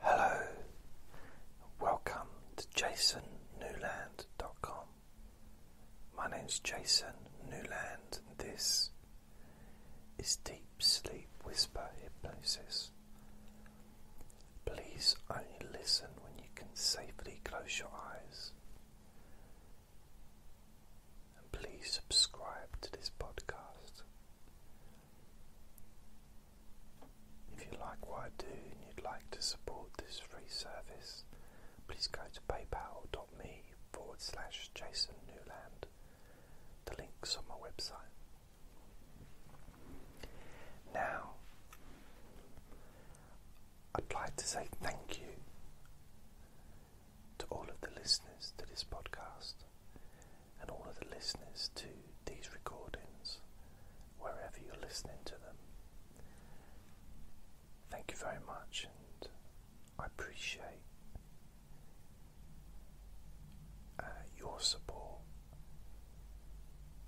Hello, welcome to jasonnewland.com. My name's Jason Newland, and this is Deep Sleep Whisper Hypnosis. Please only listen when you can safely close your eyes. And please subscribe to this podcast. If you like what I do and you'd like to support this free service, please go to paypal.me forward slash Jason Newland. The link's on my website. Now, I'd like to say thank you to all of the listeners to this podcast and all of the listeners to these recordings, wherever you're listening to them. Thank you very much, and I appreciate uh, your support,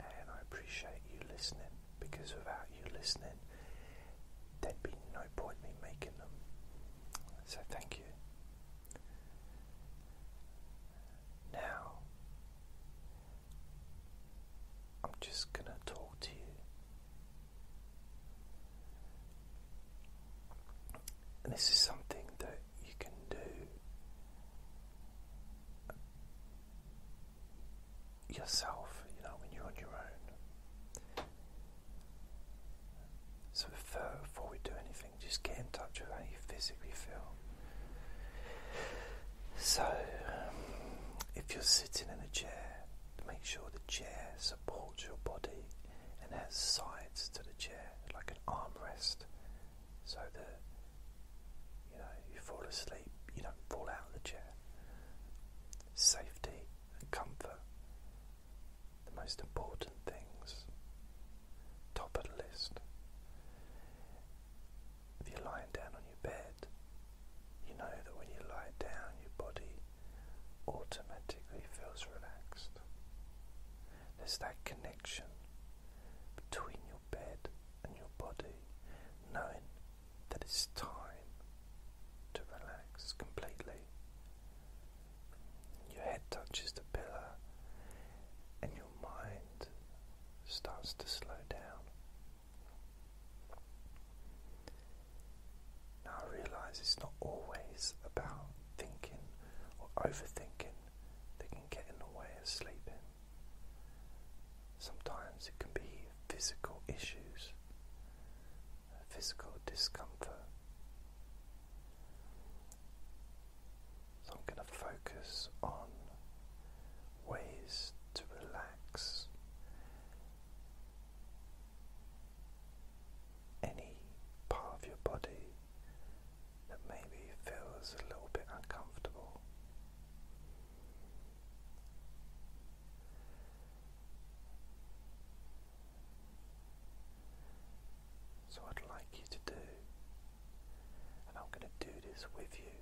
and I appreciate you listening because without you listening, there'd be no point in me making them. So, thank you. Now, I'm just going to talk to you. And this is something that you can do yourself, you know, when you're on your own. So, before we do anything, just get in touch with how you physically feel. So, um, if you're sitting in a chair, make sure the chair supports your body and has sides to the chair, like an armrest, so that you know you fall asleep, you don't fall out of the chair. Safety and comfort, the most important things, top of the list. If you're lying down on your bed, you know that when you lie down, your body automatically feels relaxed. There's that connection between your bed and your body, knowing that it's time to relax completely. Your head touches the pillow, and your mind starts to slow down. Now I realize it's not always about thinking or overthinking that can get in the way of sleeping. Sometimes it can be physical issues, physical discomfort. So I'm going to focus on ways to relax any part of your body that maybe feels a little bit uncomfortable. So, I'd like you to do, and I'm going to do this with you,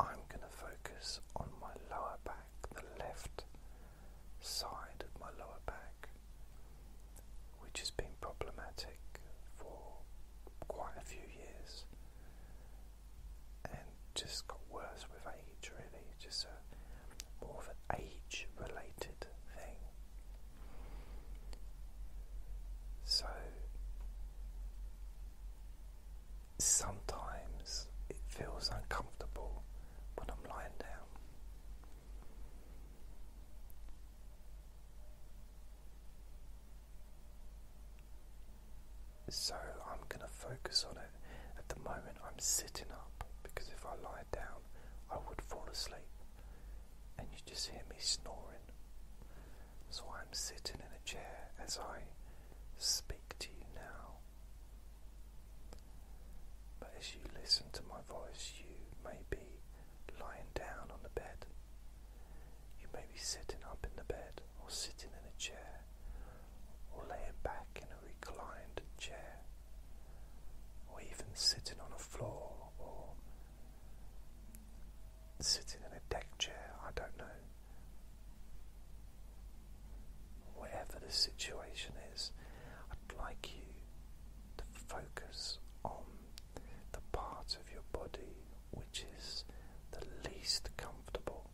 I'm going to focus on my lower back, the left side of my lower back, which has been problematic for quite a few years and just got worse with age, really, just a, more of an age related thing. So sometimes it feels uncomfortable when I'm lying down. So I'm going to focus on it. At the moment, I'm sitting up because if I lie down, I would fall asleep. And you just hear me snoring. So I'm sitting in a chair as I speak to you now. But as you listen to my voice, you may be lying down on the bed. You may be sitting up in the bed, or sitting in a chair, or laying back in a reclined chair, or even sitting on a floor, or sitting in a deck chair, I don't know. Whatever the situation is, I'd like you to focus on the part of your body which is the least comfortable.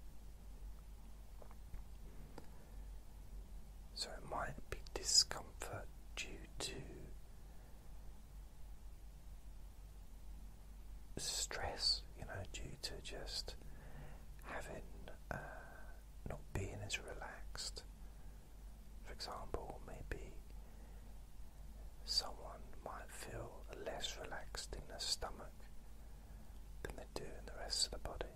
So it might be discomfort due to stress, you know, due to just having uh, not being as relaxed. For example, maybe someone might feel less relaxed in the stomach than they do in the rest of the body.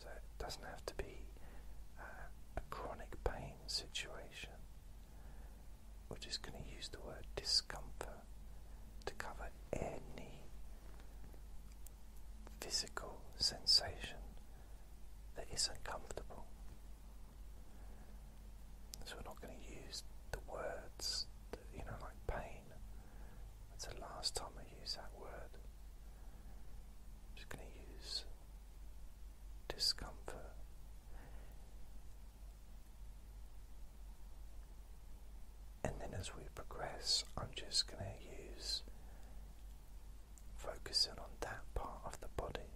So it doesn't have to be uh, a chronic pain situation. We're just going to use the word discomfort to cover any physical sensation that is isn't comfortable. So we're not going to use the words, that, you know, like pain. That's the last time I use that word. I'm just going to use discomfort. And then as we progress, I'm just going to use focusing on that part of the body.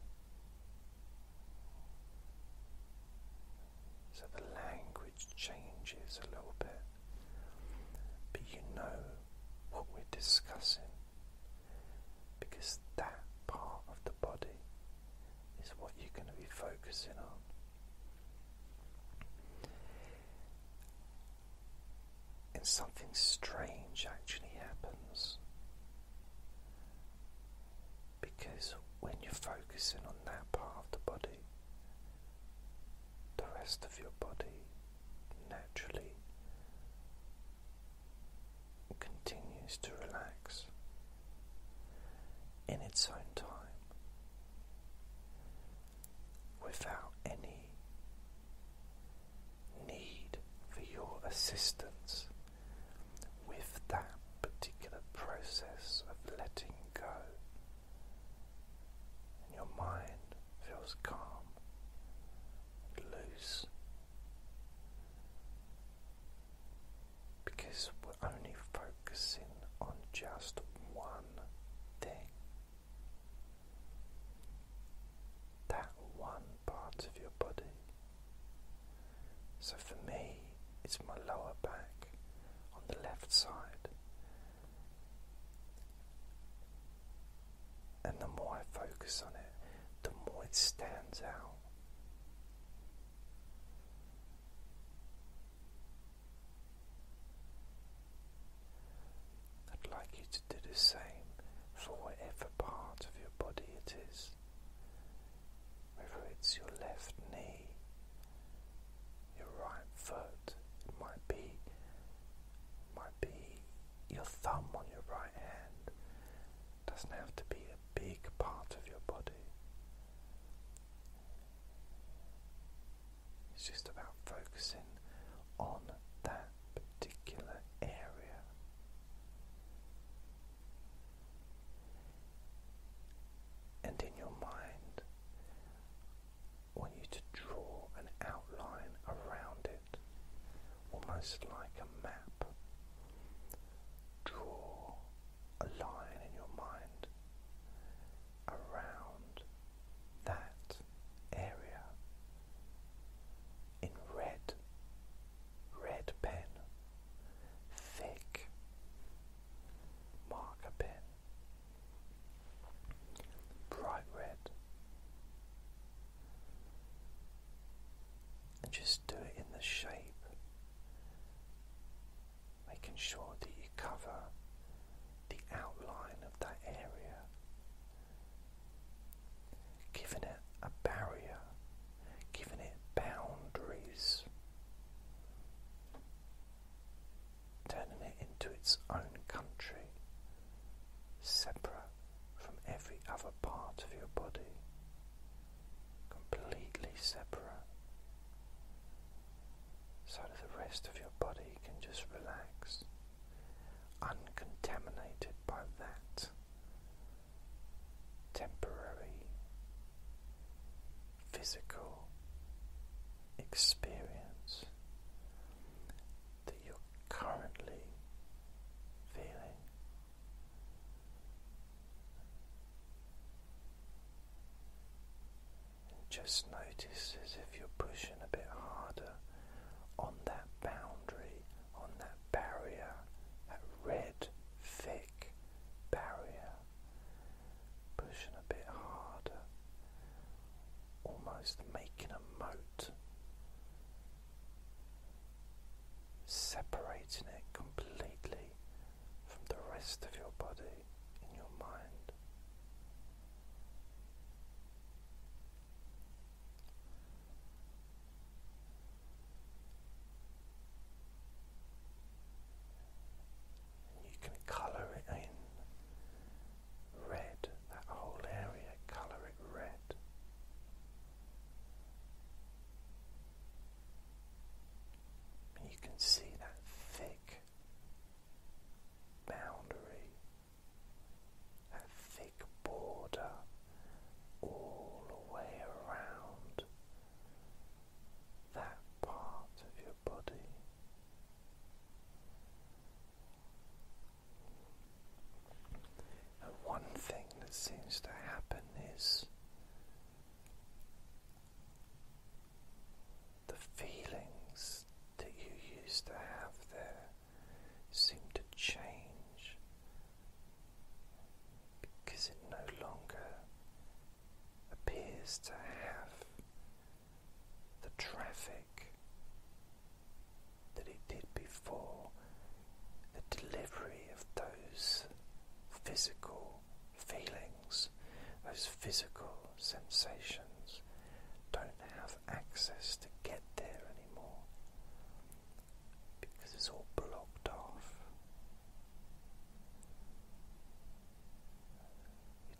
So the language changes a little bit, but you know what we're discussing because that part of the body is what you're going to be focusing on. And something strange actually happens because when you're focusing on that part of the body, the rest of your body naturally continues to relax in its own time without any need for your assistance with that particular process of letting go. And your mind feels calm and loose because we're only focusing on just one thing. That one part of your body. So for me, it's my lower back on the left side. And the more I focus on it, the more it stands out. I'd like you to do the same for whatever part of your body it is, whether it's your left knee, your right foot, it might be might be your thumb on your right hand. Doesn't have to be big part of your body. It's just about focusing on that particular area. And in your mind, I want you to draw an outline around it almost like a map. Draw a line in your mind around that area in red, red pen, thick marker pen, bright red and just do it in the shape, making sure that you cover the outline of that area, giving it a barrier, giving it boundaries, turning it into its own country, separate from every other part of your body completely separate so that the rest of your body can just relax, uncontaminated by that temporary physical experience that you're currently feeling just notice as if you're pushing a bit harder on that boundary, on that barrier, that red, thick barrier. Pushing a bit harder, almost making a moat separating it completely from the rest of your body and your mind. you can colour it in red, that whole area, colour it red you can see that thick boundary, that thick border all the way around that part of your body. And one thing that seems to happen is the feelings that you used to have there seem to change because it no longer appears to have the traffic that it did before the delivery of those physical feelings, those physical sensations, don't have access to get there anymore because it's all blocked off.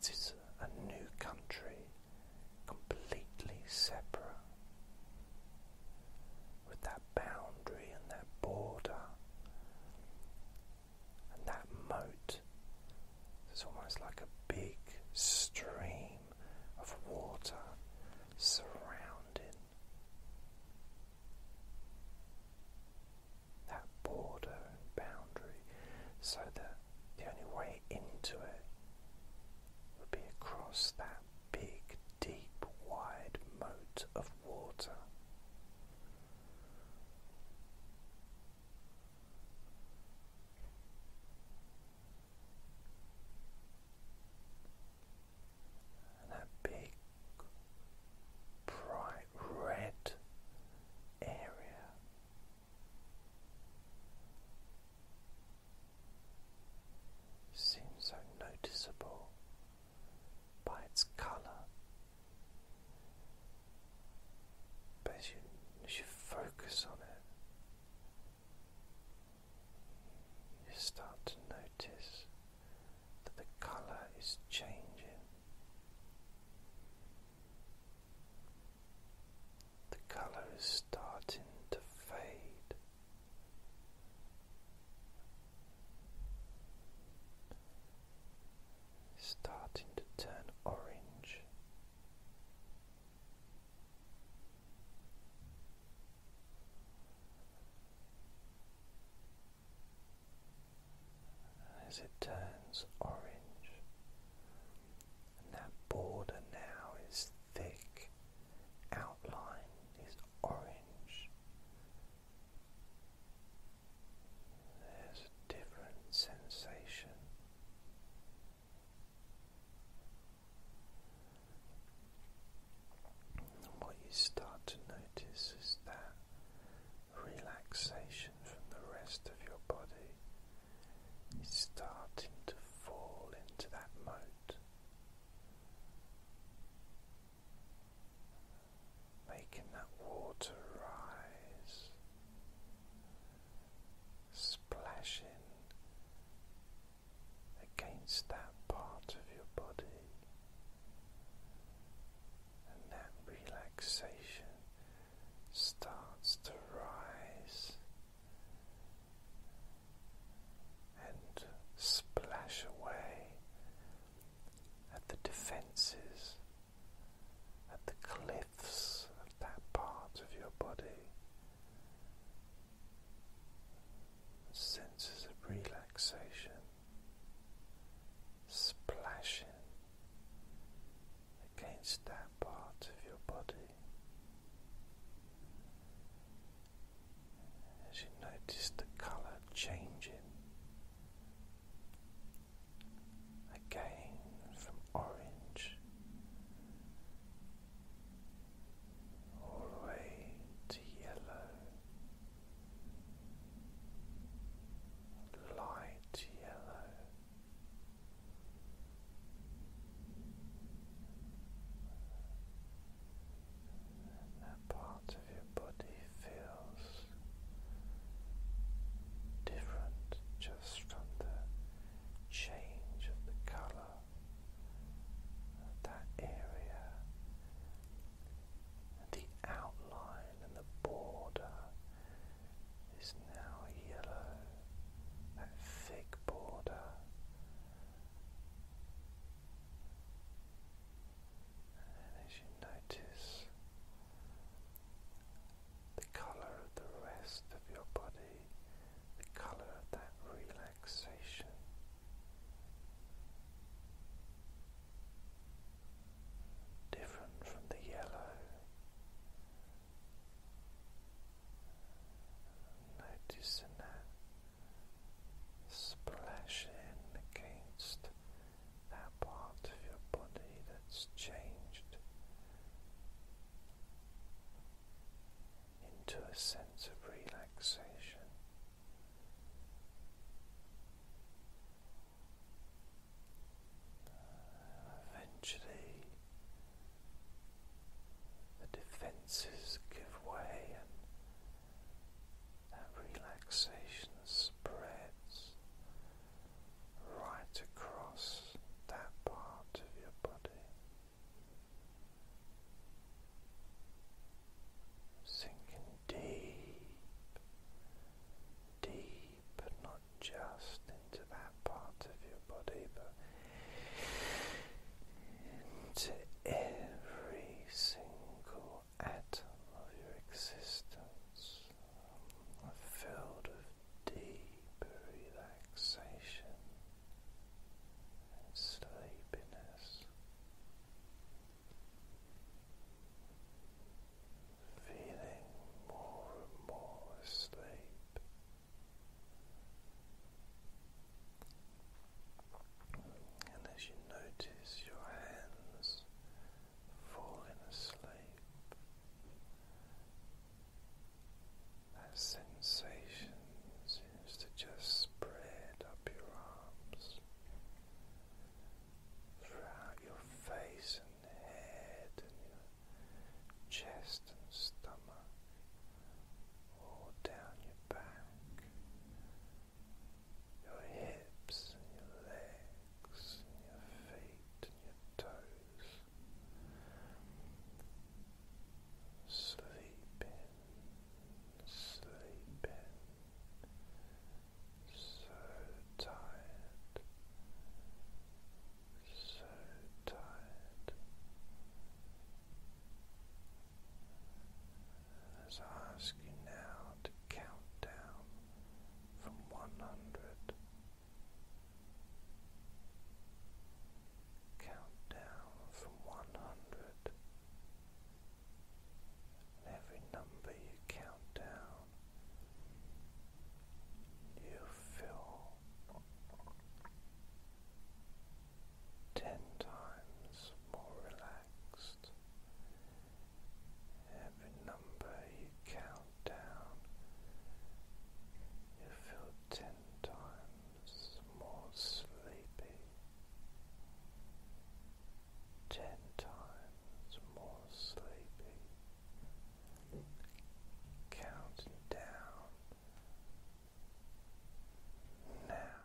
It is a new country, completely separate with that boundary and that border and that moat. It's almost like a big stream of water surrounding that border and boundary, so that the only way into it would be across that big, deep, wide moat of water. And that big bright red area seems so noticeable by its colour. But as you, focus on it, you start to notice that the colour is changing. The colour is starting to fade starting to turn orange. As it turns orange, that border now is thick, outline is orange, there's a different sensation. And what you start to notice is that relaxation from the rest of your body is starting to fall into that mode making that water rise, splashing against that part of your body, and that relaxation starts to rise and splash away at the defenses, at the cliffs of that part of your body. Senses of relaxation splashing against that part of your body. As you notice the colour changing again from orange all the way to yellow, light yellow. And that part of your body feels different just from the change of the color of that area and the outline and the border is now yellow that thick border and as you notice the colour of the rest of your body, the colour of that relaxation. Different from the yellow. Noticing that splashing against that part of your body that's changed into a sense of relaxation. Eventually, the defenses give way and that relaxation spreads right across that part of your body. Sinking deep, deep, but not just into that part of your body, but into every single atom of your existence a field of deep relaxation and sleepiness. Feeling more and more asleep, and as you notice your hands falling asleep. That sensation seems to just spread up your arms throughout your face and head and your chest and stomach, all down your back, your hips and your legs and your feet and your toes. Sleeping, sleeping, so tired, so tired. As I ask you now to count down from one hundred, count down from one hundred, and every number you count down, you feel ten times more relaxed. Every number you count down, you feel ten times more sleepy, ten times more sleepy, counting down now.